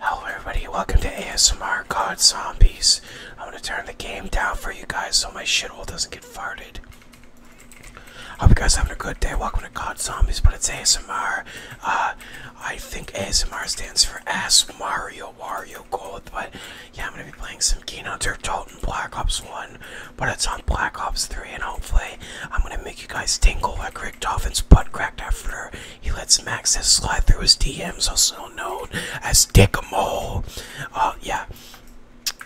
Hello everybody, welcome to ASMR God Zombies. I'm gonna turn the game down for you guys so my shithole doesn't get farted. Hope you guys having a good day. Welcome to God Zombies, but it's ASMR. Uh, I think ASMR stands for Ask Mario Wario Gold, but yeah, I'm gonna be playing some Kino Turtle and Black Ops 1, but it's on Black Ops 3, and hopefully I'm gonna make you guys tingle like Rick Dolphin's butt crack after he lets Max Maxis slide through his DMs, also known as Dickamole. Uh, yeah.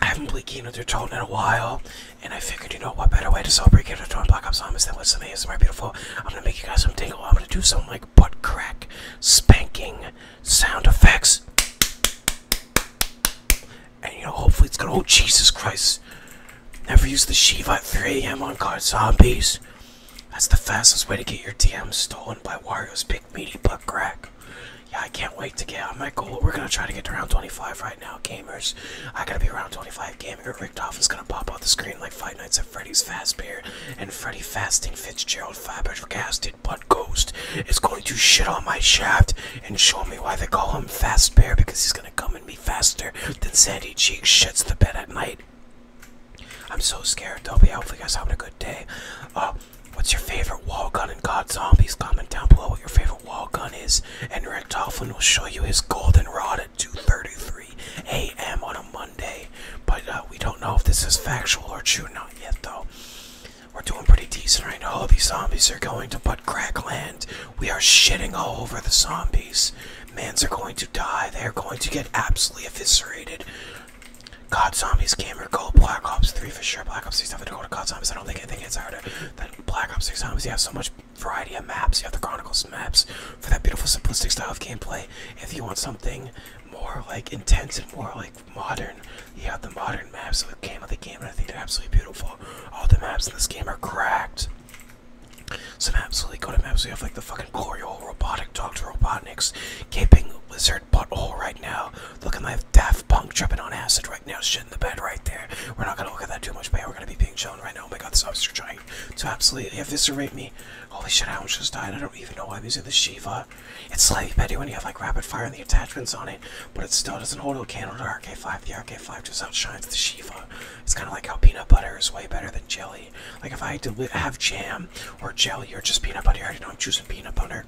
I haven't played Kingdom Hearts Tone in a while, and I figured, you know, what better way to celebrate Kingdom Hearts Black Ops Zombies than with some of ASMR beautiful. I'm gonna make you guys some tingle. I'm gonna do some, like, butt crack, spanking sound effects. And, you know, hopefully it's gonna, oh, Jesus Christ. Never use the Shiva at 3 a.m. on guard zombies. That's the fastest way to get your DM stolen by Wario's big meaty butt crack. Yeah, I can't wait to get on my goal. We're gonna try to get to round 25 right now, gamers. I gotta be around 25 gaming. Richtoff is gonna pop off the screen like Five Nights at Freddy's Fast Bear and Freddy Fasting Fitzgerald Flabbergasted Butt Ghost is going to shit on my shaft and show me why they call him Fast Bear because he's gonna come at me faster than Sandy Cheeks shuts the bed at night I'm so scared though, but hopefully you guys having a good day. Uh, what's your favorite wall gun in God Zombies? Comment down below what your favorite wall gun is. And Rick Tofflin will show you his golden rod at 2.33 a.m. on a Monday. But uh, we don't know if this is factual or true, not yet though. We're doing pretty decent right now. All these zombies are going to butt crack land. We are shitting all over the zombies. Mans are going to die. They are going to get absolutely eviscerated. God Zombies, Gamer Go, Black Ops 3 for sure. Black Ops 6 have a Dakota God Zombies. I don't think anything gets harder than Black Ops 6 Zombies. You have so much variety of maps. You have the Chronicles maps for that beautiful, simplistic style of gameplay. If you want something more like intense and more like modern, you have the modern maps that came with the game, and I think they're absolutely beautiful. All the maps in this game are cracked. So I'm absolutely good. I'm absolutely off like the fucking glory hole robotic Dr. Robotnik's gaping lizard butthole right now. Looking like Daft Punk tripping on acid right now. Shit in the bed right there. We're not gonna look at that too much, but yeah, we're gonna be being shown right now. Oh my god, this officer trying to absolutely eviscerate me. Holy shit, I almost just died. I don't even know why I'm using the Shiva. It's slightly better when you have like rapid fire and the attachments on it, but it still doesn't hold a candle to the RK5. The RK5 just outshines the Shiva. It's kind of like how peanut butter is way better than jelly. Like if I had to have jam or jelly or just peanut butter, I already know I'm choosing peanut butter.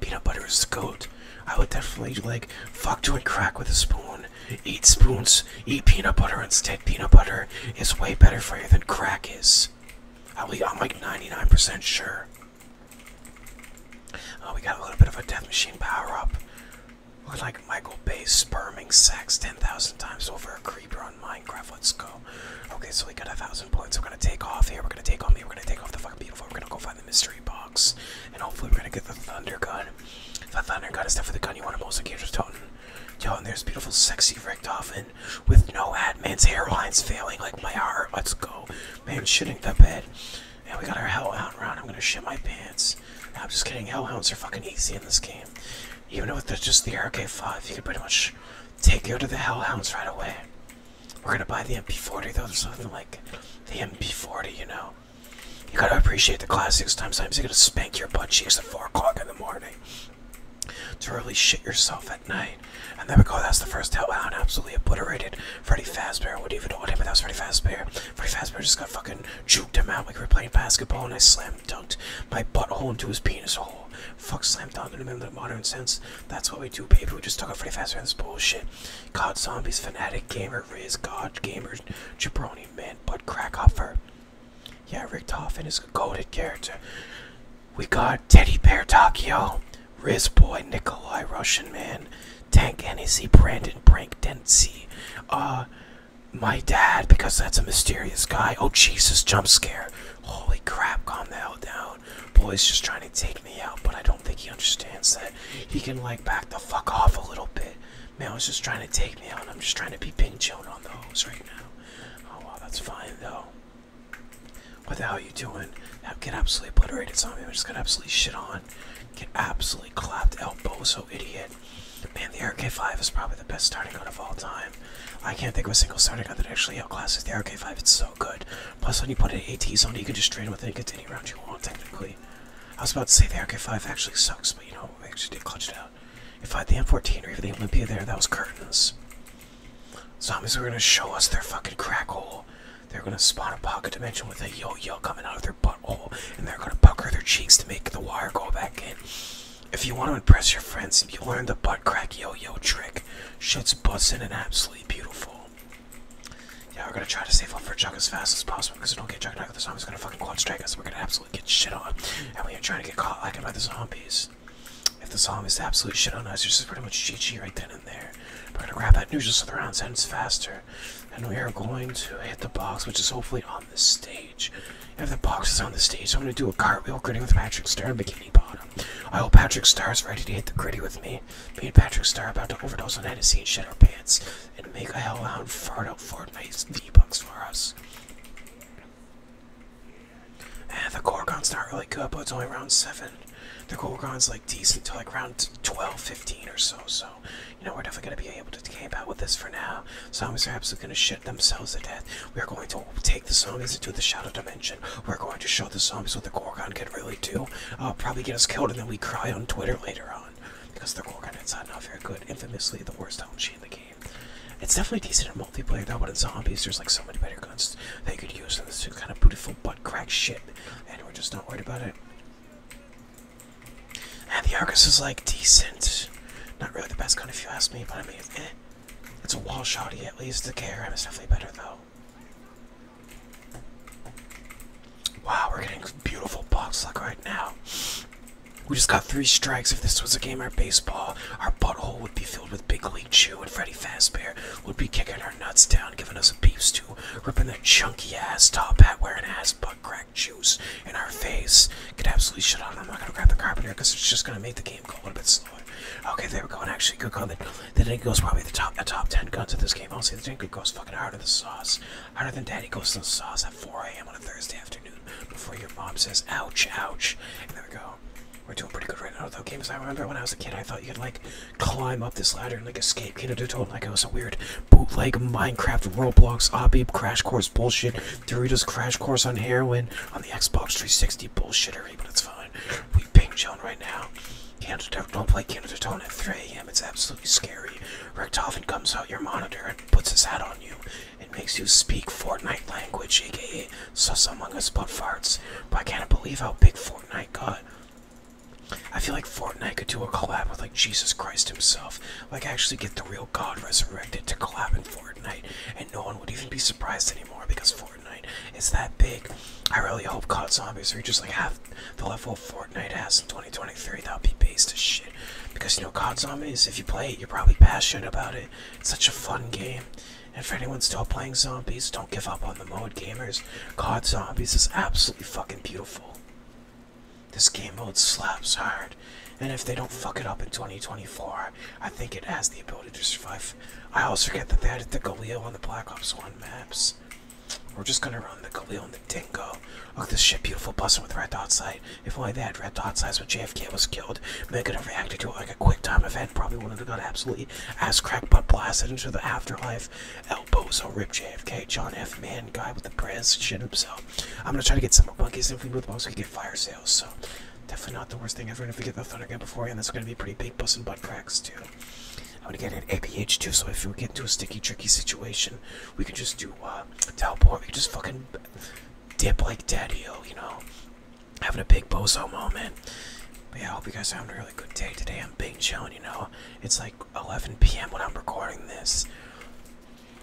Peanut butter is the goat. I would definitely like fuck doing crack with a spoon. Eat spoons. Eat peanut butter instead. Peanut butter is way better for you than crack is. I'm like 99% sure. Oh, we got a little bit of a death machine power up. Look like Michael Bay's sperming sex 10,000 times over a creeper on Minecraft. Let's go. Okay, so we got a thousand points. We're gonna take off here. We're gonna take on me. We're gonna take off the fucking beautiful. We're gonna go find the mystery box. And hopefully, we're gonna get the thunder gun. The thunder gun is definitely the gun you want to most engage with Totten. Yo, and there's beautiful, sexy Richtofen with no ad. hairline's failing like my heart. Let's go. Man, shitting the bed. And we got our hellhound round. I'm gonna shit my pants. I'm just kidding. Hellhounds are fucking easy in this game. Even with the, just the RK5, you can pretty much take go to the Hellhounds right away. We're gonna buy the MP40 though, there's something like the MP40, you know. You gotta appreciate the classics. Sometimes you gotta spank your butt cheeks at 4 o'clock in the morning to really shit yourself at night. And there we go, that's the first Hellhound absolutely obliterated Freddy Fazbear. What do you even know what happened? That was Freddy Fazbear. Freddy Fazbear just got fucking juked him out like we were playing basketball and I slammed slam dunked my butthole into his penis hole. Fuck slam dunk in the middle of modern sense. That's what we do, baby. We just talk about pretty fast around this bullshit. God zombies, fanatic gamer, Riz, God gamer, jabroni man, butt crack huffer. Yeah, Rick Toffin is a goaded character. We got Teddy Bear Takio, Riz Boy, Nikolai Russian Man, Tank Hennessy, Brandon Brank Dempsey, uh, my dad because that's a mysterious guy. Oh Jesus, jump scare. Holy crap, calm the hell down. boy. He's just trying to take me out, but I don't think he understands that. He can like back the fuck off a little bit. Man, he's just trying to take me out. I'm just trying to be ping chilled on those right now. Oh well, that's fine though. What the hell are you doing? Get absolutely obliterated, zombie. I'm just gonna absolutely shit on. Get absolutely clapped, elbow, so idiot. Man, the RK5 is probably the best starting gun of all time. I can't think of a single starting gun that actually outclasses the RK5. It's so good. Plus, when you put an ATZ on, you can just train with it and any round you want, technically. I was about to say the RK5 actually sucks, but you know, I actually did clutch it out. If I had the M14 or even the m Olympia there, that was curtains. Zombies were gonna show us their fucking crack hole. They're gonna spawn a pocket dimension with a yo-yo coming out of their butthole, and they're gonna pucker their cheeks to make the wire go back in. If you want to impress your friends, if you learn the butt crack yo-yo trick. Shit's bustin' and absolutely beautiful. Yeah, we're gonna try to save up for Chuck as fast as possible because we don't get Chuck out the zombies gonna fucking quad strike us. We're gonna absolutely get shit on. And we are trying to get caught like by the zombies. If the zombies absolutely shit on us, this is pretty much GG right then and there. We're gonna grab that news just so the ends faster. And we are going to hit the box, which is hopefully the stage. If the box is on the stage, I'm going to do a cartwheel gritty with Patrick Star and Bikini Bottom. I hope Patrick Star is ready to hit the gritty with me. Me Patrick Star about to overdose on Hennessy and shit our pants and make a hellhound fart out Fortnite's V-Bucks for us. And the Gorgon's not really good, but it's only round 7. The Gorgon's like decent till like round 12, 15 or so, so you know, we're definitely going to be able to camp out with this for now. Zombies are absolutely going to shit themselves to death. We're going to take the zombies into the shadow dimension. We're going to show the zombies what the Gorgon can really do. Uh, probably get us killed and then we cry on Twitter later on. Because the Gorgon is not very good. Infamously the worst home in the game. It's definitely decent in multiplayer though, but in zombies there's like so many better guns that you could use in this kind of beautiful butt crack shit. And we're just not worried about it. And ah, the Argus is like decent. Not really the best gun if you ask me, but I mean, it's, eh. it's a wall shotty at least. The KRM is definitely better though. Wow, we're getting beautiful box luck right now. We just got three strikes. If this was a game of baseball, our butthole would be filled with Big League Chew, and Freddy Fazbear would be kicking our nuts down, giving us a beef stew, ripping that chunky ass top hat wearing ass butt crack black juice in our face. get absolutely shut up. I'm not gonna grab the carpenter because it's just gonna make the game go a little bit slower. Okay, there we go. And actually, good comment. The Dinky Ghost probably the top the top ten guns of this game. Honestly, the Dinky goes fucking harder than sauce. Harder than Daddy goes in the sauce at 4 a.m. on a Thursday afternoon before your mom says, "Ouch, ouch." there we go. We're doing pretty good right now, though. Games I remember when I was a kid, I thought you could like climb up this ladder and like escape Kingdom Tutorial like it was a weird bootleg Minecraft, Roblox, Obby, Crash Course bullshit Doritos Crash Course on Heroin on the Xbox 360 bullshittery, but it's fine. We ping Joan right now. Canada, don't play Canada Tone at 3 a.m. It's absolutely scary. Richtofen comes out your monitor and puts his hat on you It makes you speak Fortnite language, aka Sus Among Us Butt Farts. But I can't believe how big Fortnite got. I feel like Fortnite could do a collab with like Jesus Christ himself like actually get the real God resurrected to collab Fortnite, and no one would even be surprised anymore because Fortnite is that big. I really hope COD Zombies are just like half the level of Fortnite has in 2023. That will be based as shit. Because you know, COD Zombies, if you play it, you're probably passionate about it. It's such a fun game. And for anyone still playing zombies, don't give up on the mode, gamers. COD Zombies is absolutely fucking beautiful. This game mode slaps hard, and if they don't fuck it up in 2024, I think it has the ability to survive. I also forget that they had the galeo on the Black Ops 1 maps. We're just gonna run the galeo and the Dingo. Look this shit, beautiful busting with red dot sight. If only they had red dot sights when JFK was killed, they could have reacted to it like a quick time event. Probably wouldn't have got absolutely ass crack butt blasted into the afterlife. Elbows on Rip JFK, John F. Man, guy with the prez, shit himself. I'm gonna try to get some monkeys and food with balls so we get fire sales. So definitely not the worst thing ever. And if we get the thunder gun beforehand, that's gonna be pretty big busting butt cracks too. I'm gonna get an APH too, so if we get into a sticky, tricky situation, we can just do uh, teleport. We can just fucking dip like daddy you know, having a big bozo moment. yeah, I hope you guys are having a really good day today. I'm being chilling, you know. It's like 11 p.m. when I'm recording this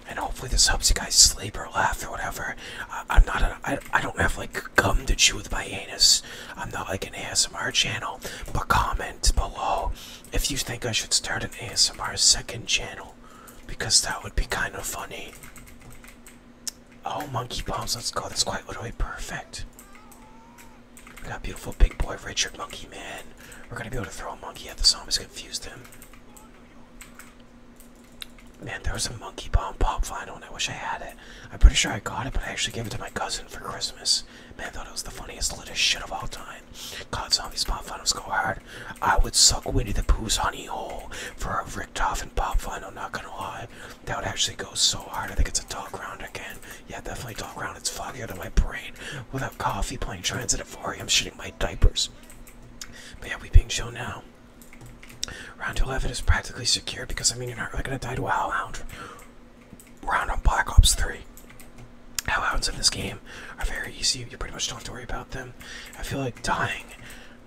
and hopefully this helps you guys sleep or laugh or whatever. I, I'm not a, I don't have like gum to chew with my anus. I'm not like an ASMR channel. But comment below if you think I should start an ASMR second channel because that would be kind of funny. Oh, monkey bombs! Let's go. That's quite literally perfect. We got beautiful big boy Richard Monkey Man. We're gonna be able to throw a monkey at the zombies, confuse them. Man, there was a monkey bomb pop vinyl, and I wish I had it. I'm pretty sure I got it, but I actually gave it to my cousin for Christmas. Man, thought it was the funniest little shit of all time. God, zombies pop finals go hard. I would suck Winnie the Pooh's honey hole for a Richtofen and pop vinyl, not gonna lie. That would actually go so hard. I think it's a dog round again. Yeah, definitely dog round. It's foggier than my brain. Without coffee, playing Transit at 4 am shitting my diapers. But yeah, we being shown now. Round 11 is practically secure because I mean, you're not really going to die to a Hellhound. Round Round on Black Ops 3. Hellhounds in this game are very easy. You pretty much don't have to worry about them. I feel like dying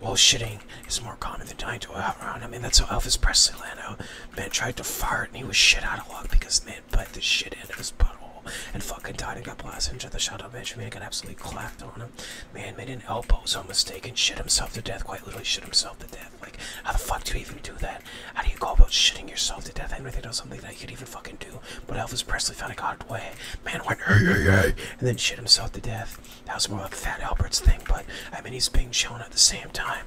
while shitting is more common than dying to a round. I mean, that's how Elvis Presley landed. man, tried to fart and he was shit out of luck because, man, put the shit into his butthole and fucking died and got blasted into the shuttle bench. Man got absolutely clapped on him. Man made an elbow so mistaken, shit himself to death, quite literally shit himself to death. Like, how the fuck do you even do that? How do you go about shitting yourself to death? I never thought that something that you could even fucking do. But Elvis Presley found a god way. Man went, hey, hey, hey, and then shit himself to death. That was more like Fat Albert's thing, but I mean, he's being shown at the same time.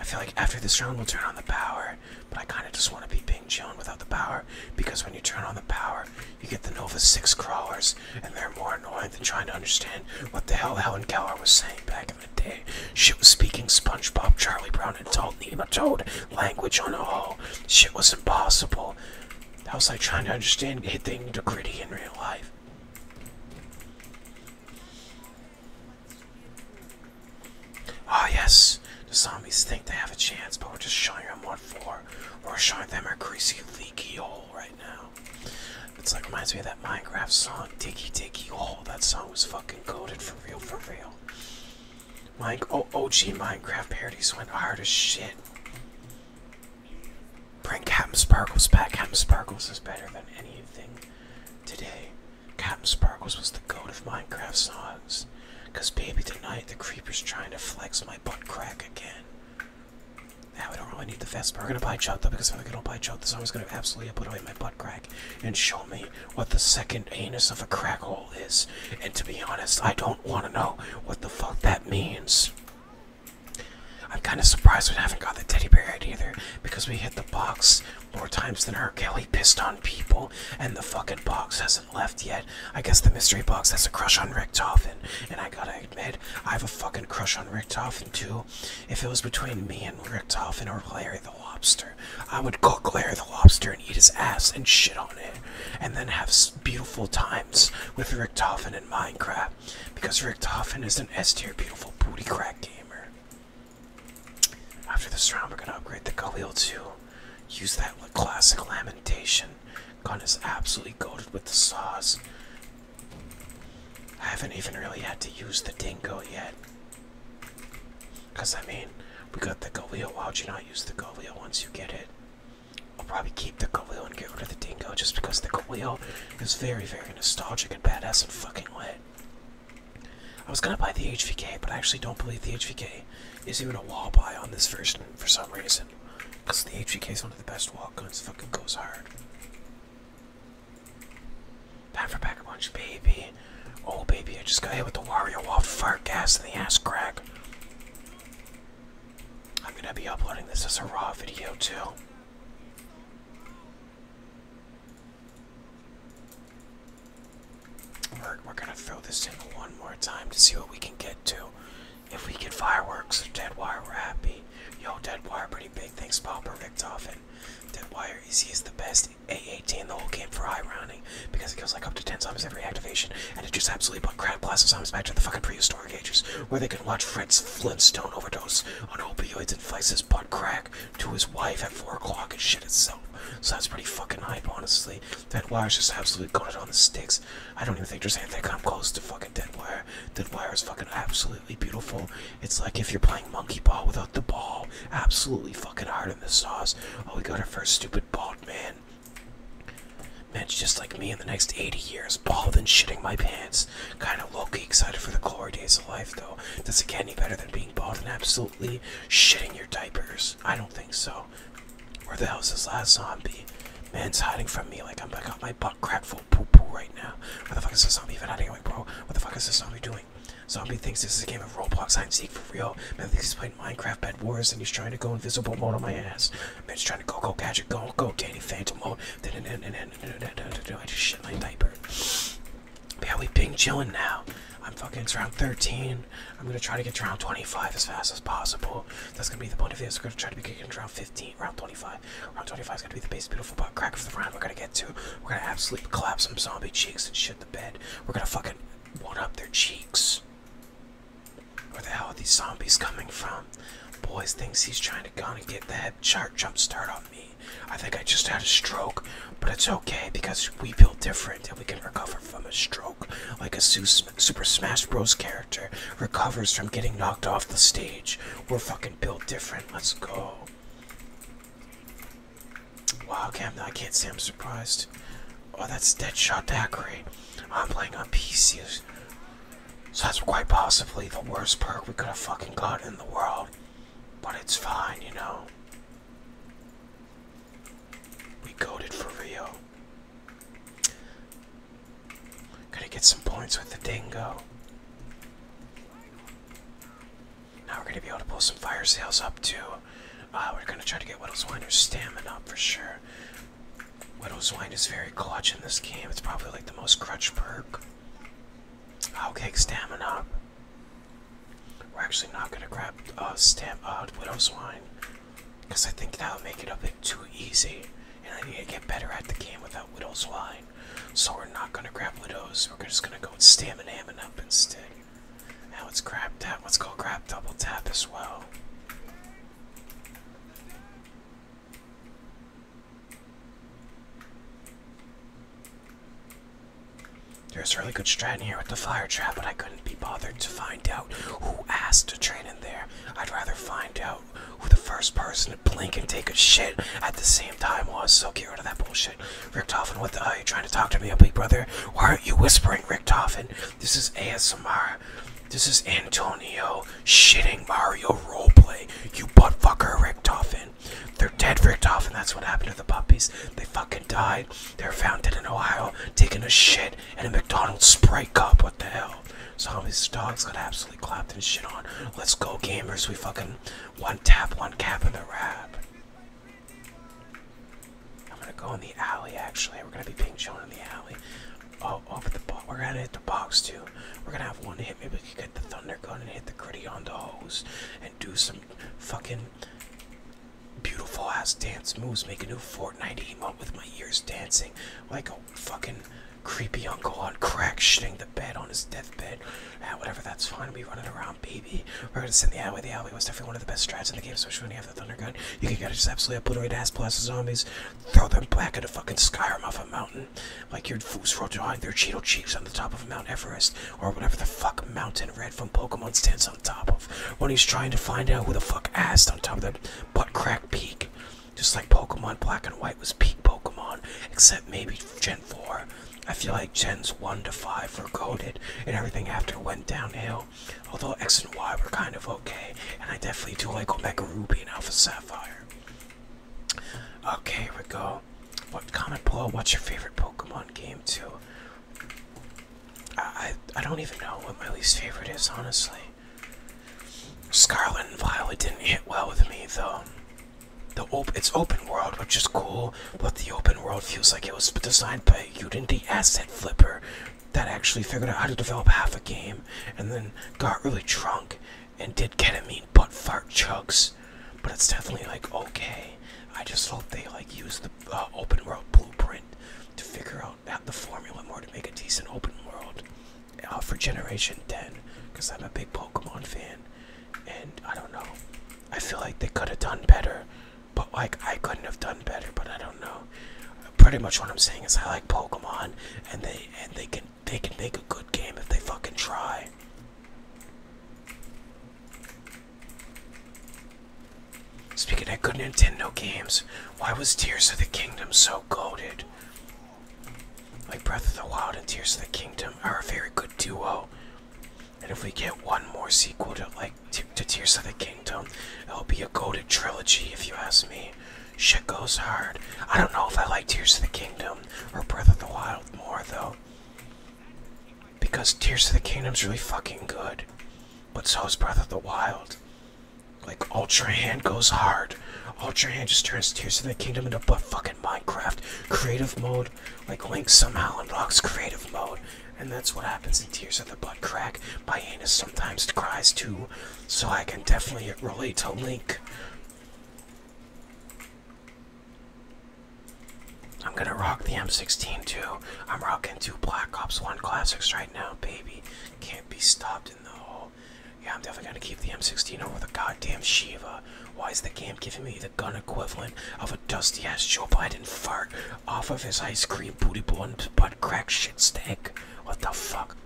I feel like after this round, we'll turn on the power, but I kind of just want to be big being without the power because when you turn on the power, you get the Nova 6 crawlers, and they're more annoying than trying to understand what the hell Helen Keller was saying back in the day. Shit was speaking SpongeBob, Charlie Brown, and Adult Nematode language on all. Shit was impossible. That was like trying to understand hitting the gritty in real life. Ah, oh, yes. The zombies think they have a chance, but we're just showing them what for. We're showing them a greasy leaky hole right now. It's like reminds me of that Minecraft song, Diggy Diggy Hole. That song was fucking coded for real, for real. Mine, oh OG Minecraft parodies went hard as shit. Bring Captain Sparkles back. Captain Sparkles is better than anything today. Captain Sparkles was the goat of Minecraft songs. Cause baby tonight the creeper's trying to flex my butt crack again. Now I don't really need the Vespa. We're gonna buy Chota because if I'm gonna buy Chota, someone's gonna absolutely obliterate my butt crack and show me what the second anus of a crack hole is. And to be honest, I don't wanna know what the fuck that means. I'm kinda surprised we haven't got the teddy bear yet either, because we hit the box more times than her Kelly pissed on people, and the fucking box has left yet. I guess the mystery box has a crush on Rick Toffin, and I gotta admit, I have a fucking crush on Rick Toffin too. If it was between me and Rick Toffin or Larry the Lobster, I would cook Larry the Lobster and eat his ass and shit on it, and then have beautiful times with Rick Toffin in Minecraft, because Rick Toffin is an S tier beautiful booty crack gamer. After this round, we're gonna upgrade the Khalil too. Use that classic lamentation Gun is absolutely coated with the saws. I haven't even really had to use the dingo yet. Because, I mean, we got the Galil. Why would you not use the Galil once you get it? I'll probably keep the Galil and get rid of the dingo just because the Galil is very, very nostalgic and badass and fucking lit. I was gonna buy the HVK, but I actually don't believe the HVK is even a wall buy on this version for some reason. Because the HVK is one of the best wall guns, fucking goes hard. Back for pack a punch, baby. Oh, baby, I just got hit with the Wario wall fart gas in the ass crack. I'm gonna be uploading this as a raw video, too. We're, gonna throw this in one more time to see what we can get to. If we get fireworks, dead wire, we're happy. Yo, dead wire, pretty big. Thanks, Popper Dead wire, E C is the best. A18 in the whole game for high rounding because it goes like up to 10 times every activation, and it just absolutely put crap class of zombies back to the fucking prehistoric ages where they could watch Fred's Flintstone overdose on opioids and vice his butt crack to his wife at 4 o'clock and shit itself. So that's pretty fucking hype, honestly. That wire is just absolutely going on the sticks. I don't even think there's anything come close to fucking dead wire. Dead wire is fucking absolutely beautiful. It's like if you're playing monkey ball without the ball. Absolutely fucking hard in the sauce. Oh, we got our first stupid bald man. Man's just like me in the next 80 years, bald and shitting my pants. Kind of low-key excited for the glory days of life, though. Does it get any better than being bald and absolutely shitting your diapers? I don't think so. Where the hell's this last zombie? Man's hiding from me like I'm I got my butt cracked full poo poo right now. What the fuck is this zombie even hiding away, bro? What the fuck is this zombie doing? Zombie thinks this is a game of Roblox hide and seek for real. Man thinks he's playing Minecraft Bed Wars and he's trying to go invisible mode on my ass. Man's trying to go go gadget go go Danny Phantom mode. I just shit my diaper. Yeah, we ping chilling now. I'm fucking it's around 13. I'm gonna try to get to round 25 as fast as possible. That's gonna be the point of this. We're gonna try to be kicking round 15, round 25. Round 25 is gonna be the base beautiful butt crack of the round. We're gonna get to. We're gonna absolutely collapse some zombie cheeks and shit the bed. We're gonna fucking one up their cheeks. Where the hell are these zombies coming from? Boy thinks he's trying to gonna get the head chart jump start on me. I think I just had a stroke, but it's okay because we build different and we can recover from a stroke like a Zeus Super Smash Bros. character recovers from getting knocked off the stage. We're fucking built different. Let's go. Wow, Cam, I can't say I'm surprised. Oh, that's Deadshot Daiquiri. I'm playing on PC. So that's quite possibly the worst perk we could have fucking got in the world. But it's fine, you know. We goaded for real. Gotta get some points with the dingo. Now we're gonna be able to pull some fire sales up too. Uh, we're gonna try to get Whittleswiner's stamina up for sure. Whittleswine is very clutch in this game. It's probably like the most crutch perk. I'll take stamina up. We're actually not gonna grab uh, stam uh, Widow's Wine. Because I think that would make it a bit too easy. And I need to get better at the game without Widow's Wine. So we're not going to grab Widows. We're just going to go with Stamina and up instead. Now let's grab that. Let's go grab Double Tap as well. There's really good strat in here with the fire trap, but I could couldn't be bothered to find out who asked to train in there. I'd rather find out who the first person to blink and take a shit at the same time was, so get rid of that bullshit. Richtofen, what the hell uh, are you trying to talk to me, big brother? Why aren't you whispering, Richtofen? This is ASMR. This is Antonio shitting Mario roleplay. You butt fucker, Richtofen. They're dead, Richtofen. That's what happened to the puppies. They fucking died. They're founded in Ohio, taking a shit in a McDonald's Sprite cup. What the hell? So Zombies dogs got absolutely clapped and shit on. Let's go, gamers. We fucking one tap, one cap in the rap. I'm gonna go in the alley. Actually, we're gonna be ping chilling in the alley. Oh, oh, but the bo we're gonna hit the box too. We're gonna have one hit. Maybe we can get the thunder gun and hit the gritty on the hose and do some fucking beautiful ass dance moves, make a new Fortnite emote with my ears dancing like a fucking creepy uncle on crack shitting the bed on his deathbed. Ah, whatever, that's fine. We are running around, baby. We're gonna send the alleyway. The alleyway was definitely one of the best strats in the game, especially when you have the thunder gun. You can just absolutely obliterate ass blast zombies, throw them back into fucking Skyrim off a mountain, like your fools rolled behind their Cheeto Chiefs on the top of Mount Everest, or whatever the fuck mountain red from Pokemon stands on he's on top of when he's trying to find out who the fuck asked on top of that butt crack peak. Just like Pokemon Black and White was peak Pokemon, except maybe Gen 4. I feel like Gens 1 to 5 were coded, and everything after went downhill. Although X and Y were kind of okay, and I definitely do like Omega Ruby and Alpha Sapphire. Okay, here we go. What comment below? What's your favorite Pokemon game? Too. I, I don't even know what my least favorite is, honestly. Scarlet and Violet didn't hit well with me, though. The op it's open world, which is cool, but the open world feels like it was designed by Unity Asset Flipper that actually figured out how to develop half a game and then got really drunk and did ketamine butt fart chugs. But it's definitely like okay. I just hope they like use the uh, open world blueprint to figure out out the formula more to make a decent open world uh, for Generation 10 because I'm a big Pokemon fan and I don't know. I feel like they could have done better, but like I couldn't have done better, but I don't know. Pretty much what I'm saying is I like Pokemon and they and they can they can make a good game if they fucking try. Speaking I couldn't good no games, why was Tears of the Kingdom so goaded? Like Breath of the Wild and Tears of the Kingdom are a very good duo. And if we get one more sequel to like to Tears of the Kingdom, it'll be a goaded trilogy if you ask me. Shit goes hard. I don't know if I like Tears of the Kingdom or Breath of the Wild more though. Because Tears of the Kingdom's really fucking good. But so is Breath of the Wild. Like Ultra Hand goes hard. Ultra Hand just turns Tears of the Kingdom into but fucking Minecraft creative mode. Like Link somehow unlocks creative mode. And that's what happens in Tears of the Butt Crack. My anus sometimes cries too. So I can definitely relate to Link. I'm gonna rock the M16 too. I'm rocking two Black Ops 1 classics right now, baby. Can't be stopped in the hole. Yeah, I'm definitely gonna keep the M16 over the goddamn Shiva. Why is the game giving me the gun equivalent of a dusty ass Joe Biden fart off of his ice cream booty blunt butt crack shit steak? What the fuck?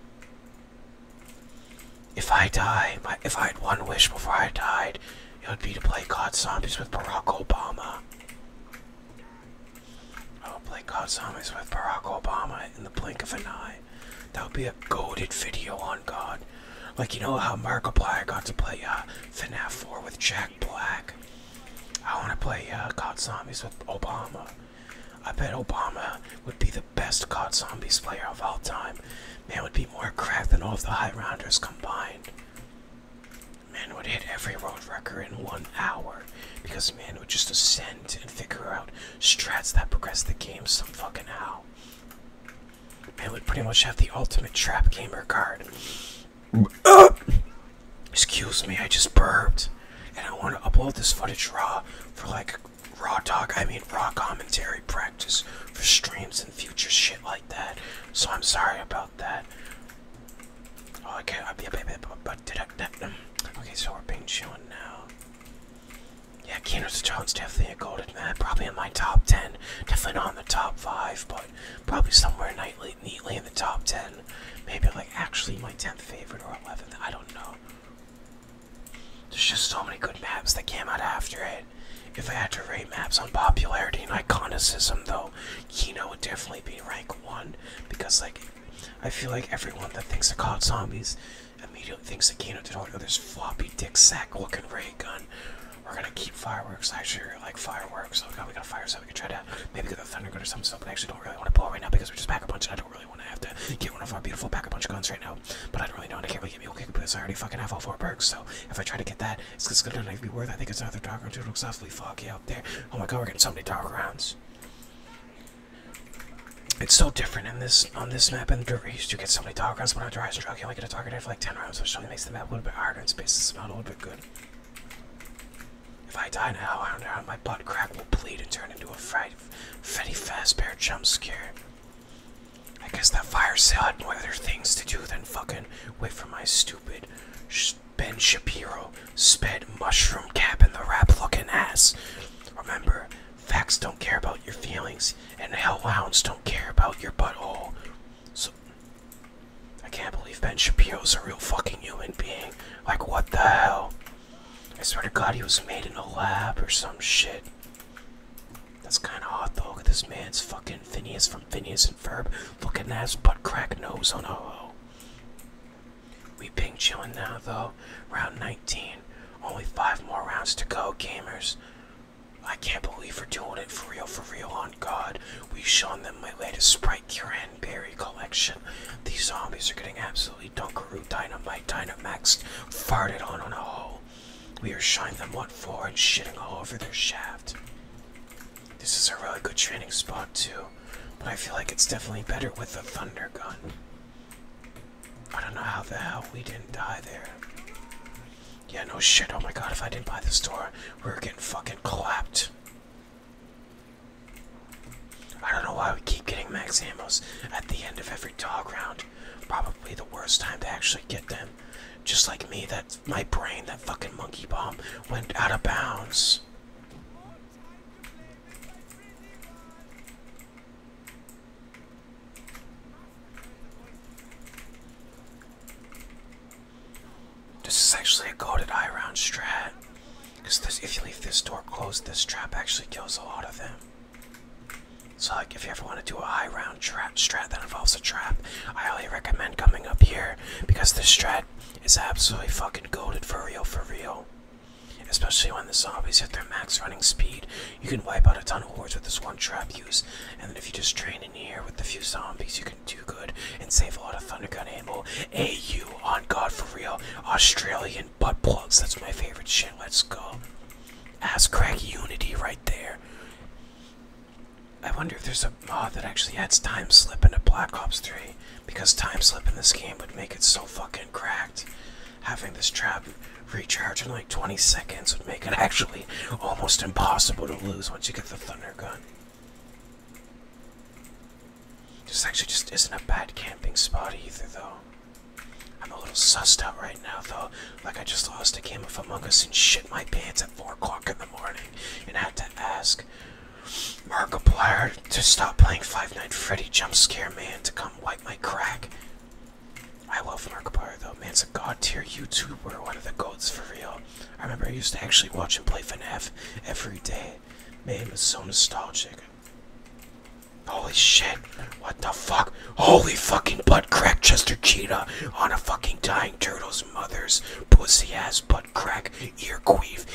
If I die, if I had one wish before I died, it would be to play God Zombies with Barack Obama. I will play God Zombies with Barack Obama in the blink of an eye. That would be a goaded video on God. Like, you know how Markiplier got to play uh, FNAF 4 with Jack Black? I want to play uh, God Zombies with Obama. I bet Obama would be the best COD Zombies player of all time. Man, would be more cracked than all of the High Rounders combined. Man would hit every road wrecker in one hour because man would just ascend and figure out strats that progress the game some fucking how. Man would pretty much have the ultimate trap gamer card. Excuse me, I just burped. And I want to upload this footage raw for like raw talk, I mean raw commentary practice for streams and future shit like that. So I'm sorry about okay, so we're being shown now. Yeah, Keener's Jones definitely a golden man. Probably in my top 10. Definitely not in the top 5, but probably somewhere neatly in the top 10. Maybe like actually my 10th favorite or 11th. I don't know. There's just so many good maps that came out after it. If I had to rate maps on popularity and iconicism, though, Kino. would definitely be rank one because, like, I feel like everyone that thinks of caught Zombies immediately thinks that Kino did all this floppy dick sack looking ray gun. We're gonna keep fireworks. I sure like fireworks. Oh god, we got fire, so we can try to maybe get the thunder gun or something. So, I actually don't really want to pull right now because we just pack a bunch, and I don't really want to have to get one of our beautiful pack a bunch guns right now. But I don't really know, and I can't really get me okay because I already fucking have all four perks. So if I try to get that, it's just gonna not be worth. I think it's another dark or two looks awfully foggy. Yeah, Oh my god, we're getting so many dark rounds. It's so different in this on this map and the used you get so many dog rounds when I drive. dry stroke can only get a target after like ten rounds, which only makes the map a little bit harder and spaces the smell a little bit good. If I die now, I don't know how my butt crack will bleed and turn into a fright fatty fast bear jump scare. I guess that fire sale had more other things to do than fucking wait for my stupid Ben Shapiro sped mushroom cap in the rap looking ass. Remember, facts don't care about your feelings, and hellhounds don't care about your butthole. So, I can't believe Ben Shapiro's a real fucking human being. Like, what the hell? I swear to God, he was made in a lab or some shit. That's kind of odd, though. at this man's fucking Phineas from Phineas and Ferb looking ass butt crack nose on a we ping chilling now though. Round 19. Only five more rounds to go, gamers. I can't believe we're doing it for real, for real, on God. We've shown them my latest Sprite Berry collection. These zombies are getting absolutely Dunkaroo Dynamite Dynamaxed, farted on on a hole. We are shined them what for and shitting all over their shaft. This is a really good training spot too, but I feel like it's definitely better with the thunder gun. I don't know how the hell we didn't die there. Yeah, no shit. Oh my god, if I didn't buy this door, we are getting fucking clapped. I don't know why we keep getting max ammos at the end of every dog round. Probably the worst time to actually get them. Just like me, that my brain, that fucking monkey bomb went out of bounds. This is actually a goaded eye round strat. Because if you leave this door closed, this trap actually kills a lot of them. So like if you ever want to do a high round strat that involves a trap, I highly recommend coming up here because this strat it's absolutely fucking goaded for real, for real. Especially when the zombies hit their max running speed, you can wipe out a ton of hordes with this one trap use. And then if you just train in here with a few zombies, you can do good and save a lot of Thundergun ammo. AU, on God for real, Australian butt plugs, that's my favorite shit, let's go. Ass crack unity right there. I wonder if there's a mod that actually adds time slip into Black Ops 3. Because time slipping in this game would make it so fucking cracked. Having this trap recharge in like 20 seconds would make it actually almost impossible to lose once you get the thunder gun. This actually just isn't a bad camping spot either though. I'm a little sussed out right now though, like I just lost a game of Among and shit my pants at 4 o'clock in the morning and had to ask Markiplier to stop playing Five Night Freddy Jump Scare Man to come wipe my crack. I love Markiplier though. Man's a god tier YouTuber, one of the gods for real. I remember I used to actually watch him play FNAF every day. Man, was so nostalgic. Holy shit. What the fuck? Holy fucking butt crack Chester Cheetah on a fucking dying turtle's mother's pussy ass butt crack, ear queef,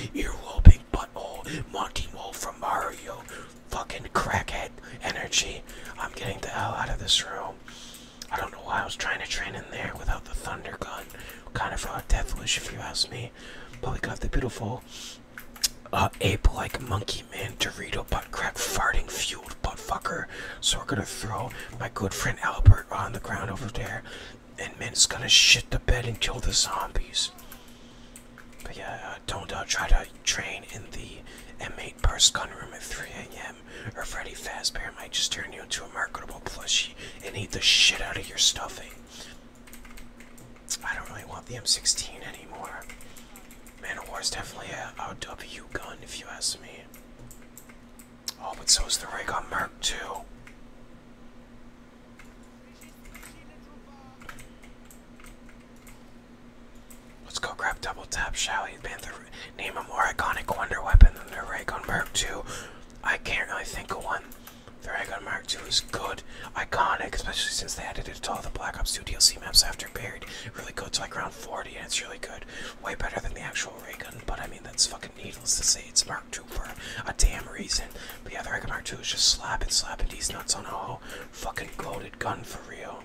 butt butthole, Monty Mole from Mario, fucking crackhead energy. I'm getting the hell out of this room. I don't know why I was trying to train in there without the thunder gun. Kind of a death wish if you ask me. But we got the beautiful uh, ape-like monkey man Dorito butt crack farting fueled butt fucker. So we're gonna throw my good friend Albert on the ground over there and man's gonna shit the bed and kill the zombies. But yeah, uh, don't uh, try to train in the M8 burst gun room at 3 a.m. or Freddy Fazbear might just turn you into a marketable plushie and eat the shit out of your stuffing. I don't really want the M16 anymore. Man of War is definitely a, a W gun if you ask me. Oh, but so is the Raycon Mark II. Let's go grab Double Tap, Shally, Panther. Name a more iconic Wonder Weapon than the Raygun Mark two. I can't really think of one. The Raygun Mark two is good, iconic, especially since they added it to all the Black Ops 2 DLC maps after Buried. really good to like round 40, and it's really good. Way better than the actual Raygun, but I mean, that's fucking needless to say, it's Mark II for a damn reason. But yeah, the Reckon Mark II is just slapping, slapping these nuts on a whole fucking loaded gun for real.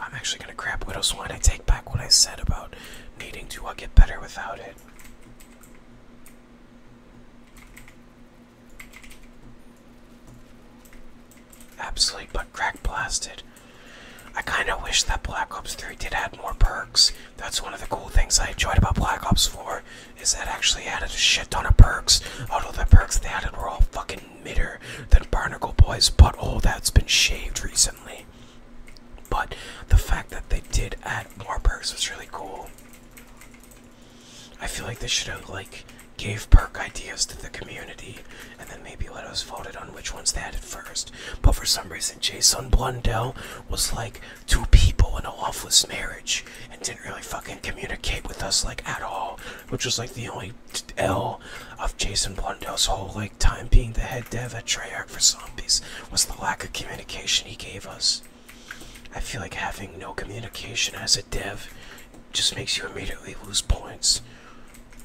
I'm actually gonna grab Widow's Wine. I take back what I said about needing to uh, get better without it. Absolutely but crack blasted. I kinda wish that Black Ops 3 did add more perks. That's one of the cool things I enjoyed about Black Ops 4 is that actually added a shit ton of perks. Although the perks they added were all fucking midder than Barnacle Boy's but butthole that's been shaved recently. But the fact that they did add more perks was really cool. I feel like they should have like gave perk ideas to the community, and then maybe let us vote it on which ones they had at first. But for some reason, Jason Blundell was like two people in a loveless marriage and didn't really fucking communicate with us like at all, which was like the only L of Jason Blundell's whole like time being the head dev at Treyarch for Zombies was the lack of communication he gave us. I feel like having no communication as a dev just makes you immediately lose points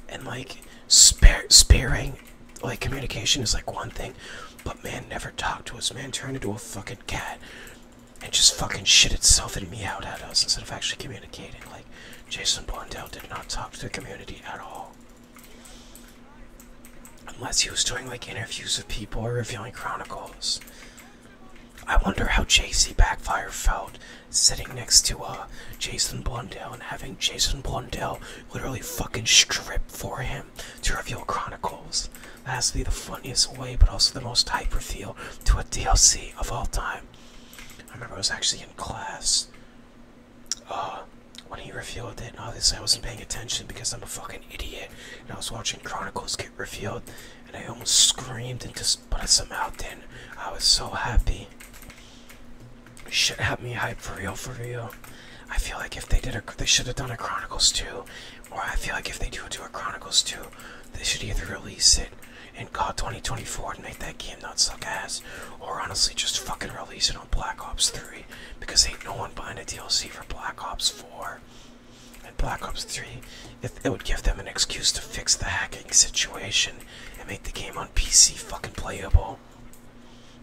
and like spearing, like communication is like one thing but man never talked to us man turned into a fucking cat and just fucking shit itself and out at us instead of actually communicating like jason blondell did not talk to the community at all unless he was doing like interviews with people or revealing chronicles i wonder how jc backfire felt sitting next to uh, Jason Blundell and having Jason Blundell literally fucking strip for him to reveal Chronicles. That has to be the funniest way, but also the most hyper reveal to a DLC of all time. I remember I was actually in class uh, when he revealed it, and obviously I wasn't paying attention because I'm a fucking idiot, and I was watching Chronicles get revealed, and I almost screamed into but somehow, then. I was so happy. Should have me hype for real, for real. I feel like if they did a, they should have done a Chronicles 2, or I feel like if they do do a Chronicles 2, they should either release it in call 2024 and make that game not suck ass, or honestly just fucking release it on Black Ops 3 because ain't no one buying a DLC for Black Ops 4 and Black Ops 3. It, it would give them an excuse to fix the hacking situation and make the game on PC fucking playable.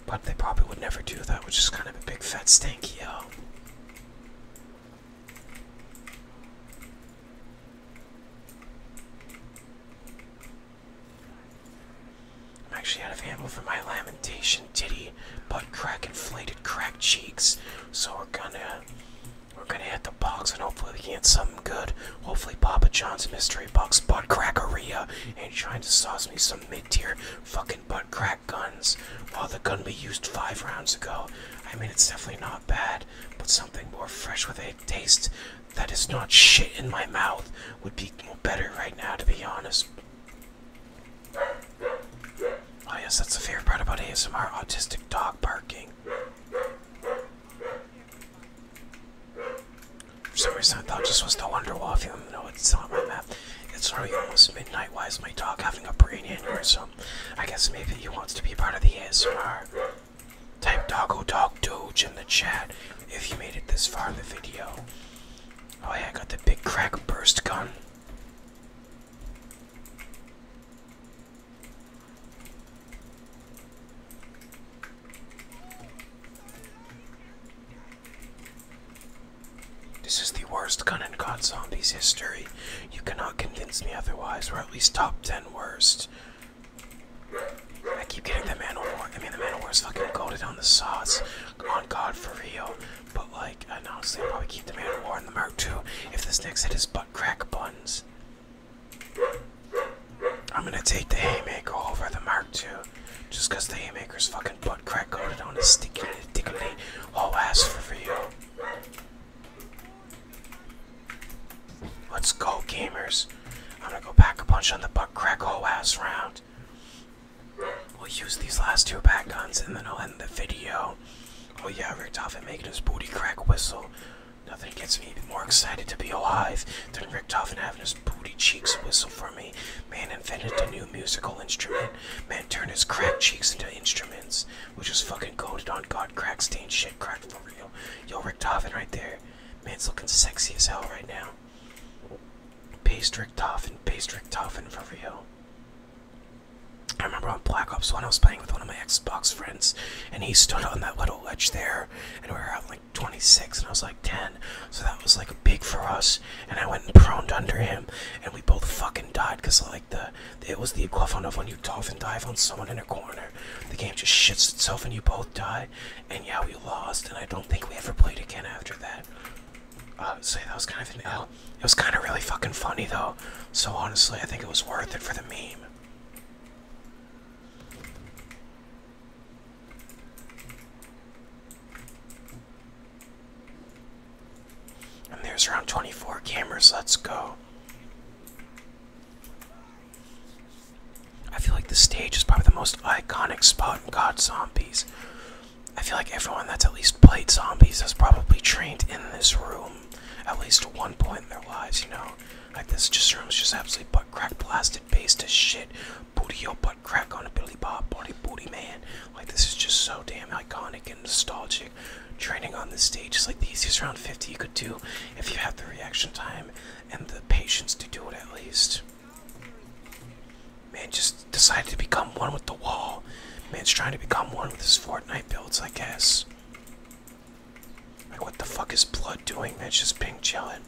But they probably would never do that, which is kind of a big fat stank, yo. I'm actually out of ammo for my lamentation, titty, butt crack, inflated crack cheeks. So we're gonna we're gonna hit the box and hopefully we get something good. Hopefully Papa John's mystery box butt crackeria ain't trying to sauce me some mid-tier fucking butt crack guns. While the gun we used five rounds ago. I mean it's definitely not bad, but something more fresh with a taste that is not shit in my mouth would be better right now to be honest. Oh yes, that's the favorite part about ASMR, autistic dog barking. For some reason, I thought this was the Wonderwall film. No, it's not my map. It's already almost midnight. Why is my dog having a brain aneurysm? I guess maybe he wants to be part of the ASMR. Type Doggo Dog Doge in the chat if you made it this far in the video. Oh yeah, I got the big crack burst gun. This is the worst gun in God's zombies history. You cannot convince me otherwise. or at least top ten worst. I keep getting the man war. I mean, the man war is fucking goaded on the sauce. On God, for real. But like, I honestly, probably keep the man war in the mark too if the snakes hit his butt crack buns. I'm gonna take the haymaker over the Mark too, just cause the haymaker's fucking butt crack coated on a sticky dickly whole ass for you. Let's go, gamers. I'm gonna go pack a punch on the butt crack whole ass round. We'll use these last two back guns and then I'll end the video. Oh yeah, Rick Toffin making his booty crack whistle. Nothing gets me more excited to be alive than Richtofen having his booty cheeks whistle for me. Man invented a new musical instrument. Man turned his crack cheeks into instruments, which is fucking coded on God crack stained shit crack for real. Yo, Richtofen right there. Man's looking sexy as hell right now. Based Richtofen, based Richtofen for real. I remember on Black Ops 1, I was playing with one of my Xbox friends, and he stood on that little ledge there and we were like 26 and I was like 10. So that was like big for us. And I went and proned under him and we both fucking died because like the it was the equivalent of when you dolphin dive on someone in a corner. The game just shits itself and you both die. And yeah, we lost and I don't think we ever played again after that. Uh, so that was kind of an L. It was kind of really fucking funny though. So honestly, I think it was worth it for the meme. And there's around 24 cameras. Let's go. I feel like the stage is probably the most iconic spot in God Zombies. I feel like everyone that's at least played zombies has probably trained in this room at least one point in their lives, you know? Like this just room's just absolutely butt crack blasted based as shit. Booty your butt crack on a Billy Bob body booty man. Like this is just so damn iconic and nostalgic. Training on the stage is like the easiest round 50 you could do if you have the reaction time and the patience to do it at least. Man just decided to become one with the wall. Man's trying to become one with his Fortnite builds, I guess. Like, what the fuck is blood doing? That's just being chilling.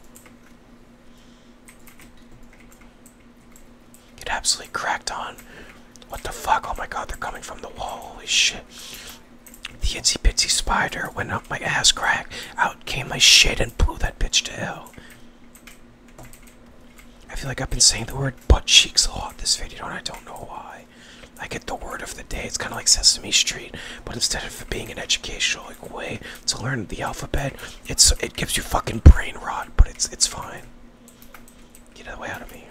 Get absolutely cracked on. What the fuck? Oh my god, they're coming from the wall. Holy shit. The itsy bitsy spider went up my ass crack. Out came my shit and blew that bitch to hell. I feel like I've been saying the word butt cheeks a lot this video and I don't know why. I get the word of the day. It's kind of like Sesame Street, but instead of it being an educational way to learn the alphabet, it's it gives you fucking brain rot, but it's it's fine. Get out of the way out of me.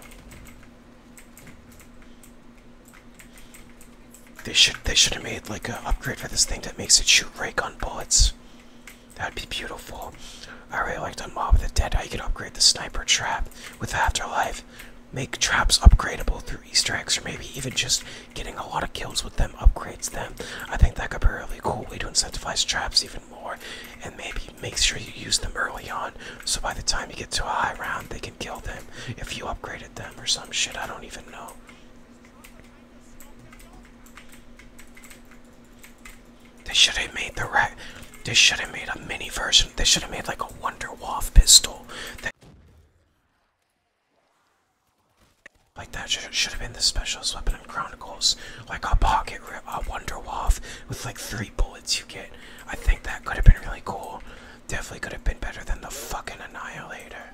They should they should have made like an upgrade for this thing that makes it shoot ray bullets. That'd be beautiful. I really like the Mob of the Dead. How you upgrade the sniper trap with Afterlife. Make traps upgradable through Easter eggs, or maybe even just getting a lot of kills with them upgrades them. I think that could be a really cool way to incentivize traps even more, and maybe make sure you use them early on, so by the time you get to a high round, they can kill them if you upgraded them or some shit. I don't even know. They should have made the rat. They should have made a mini version. They should have made like a Wonder Waff pistol. Like that should, have been the specialist weapon in Chronicles, like a pocket a wonder waff with like three bullets you get. I think that could have been really cool. Definitely could have been better than the fucking annihilator.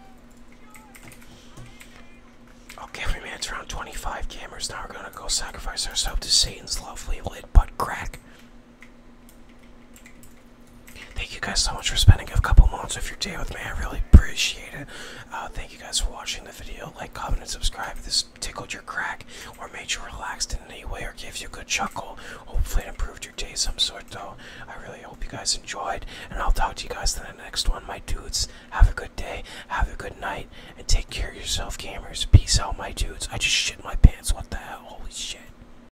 Okay, we made it round 25 gamers. Now we're gonna go sacrifice ourselves to Satan's lovely lid butt crack. Thank you guys so much for spending a couple moments of your day with me. I really appreciate it. Uh, thank you guys for watching the video. Like, comment, and subscribe if this tickled your crack or made you relaxed in any way or gave you a good chuckle. Hopefully, it improved your day some sort, though. I really hope you guys enjoyed, and I'll talk to you guys in the next one. My dudes, have a good day, have a good night, and take care of yourself, gamers. Peace out, my dudes. I just shit my pants. What the hell? Holy shit.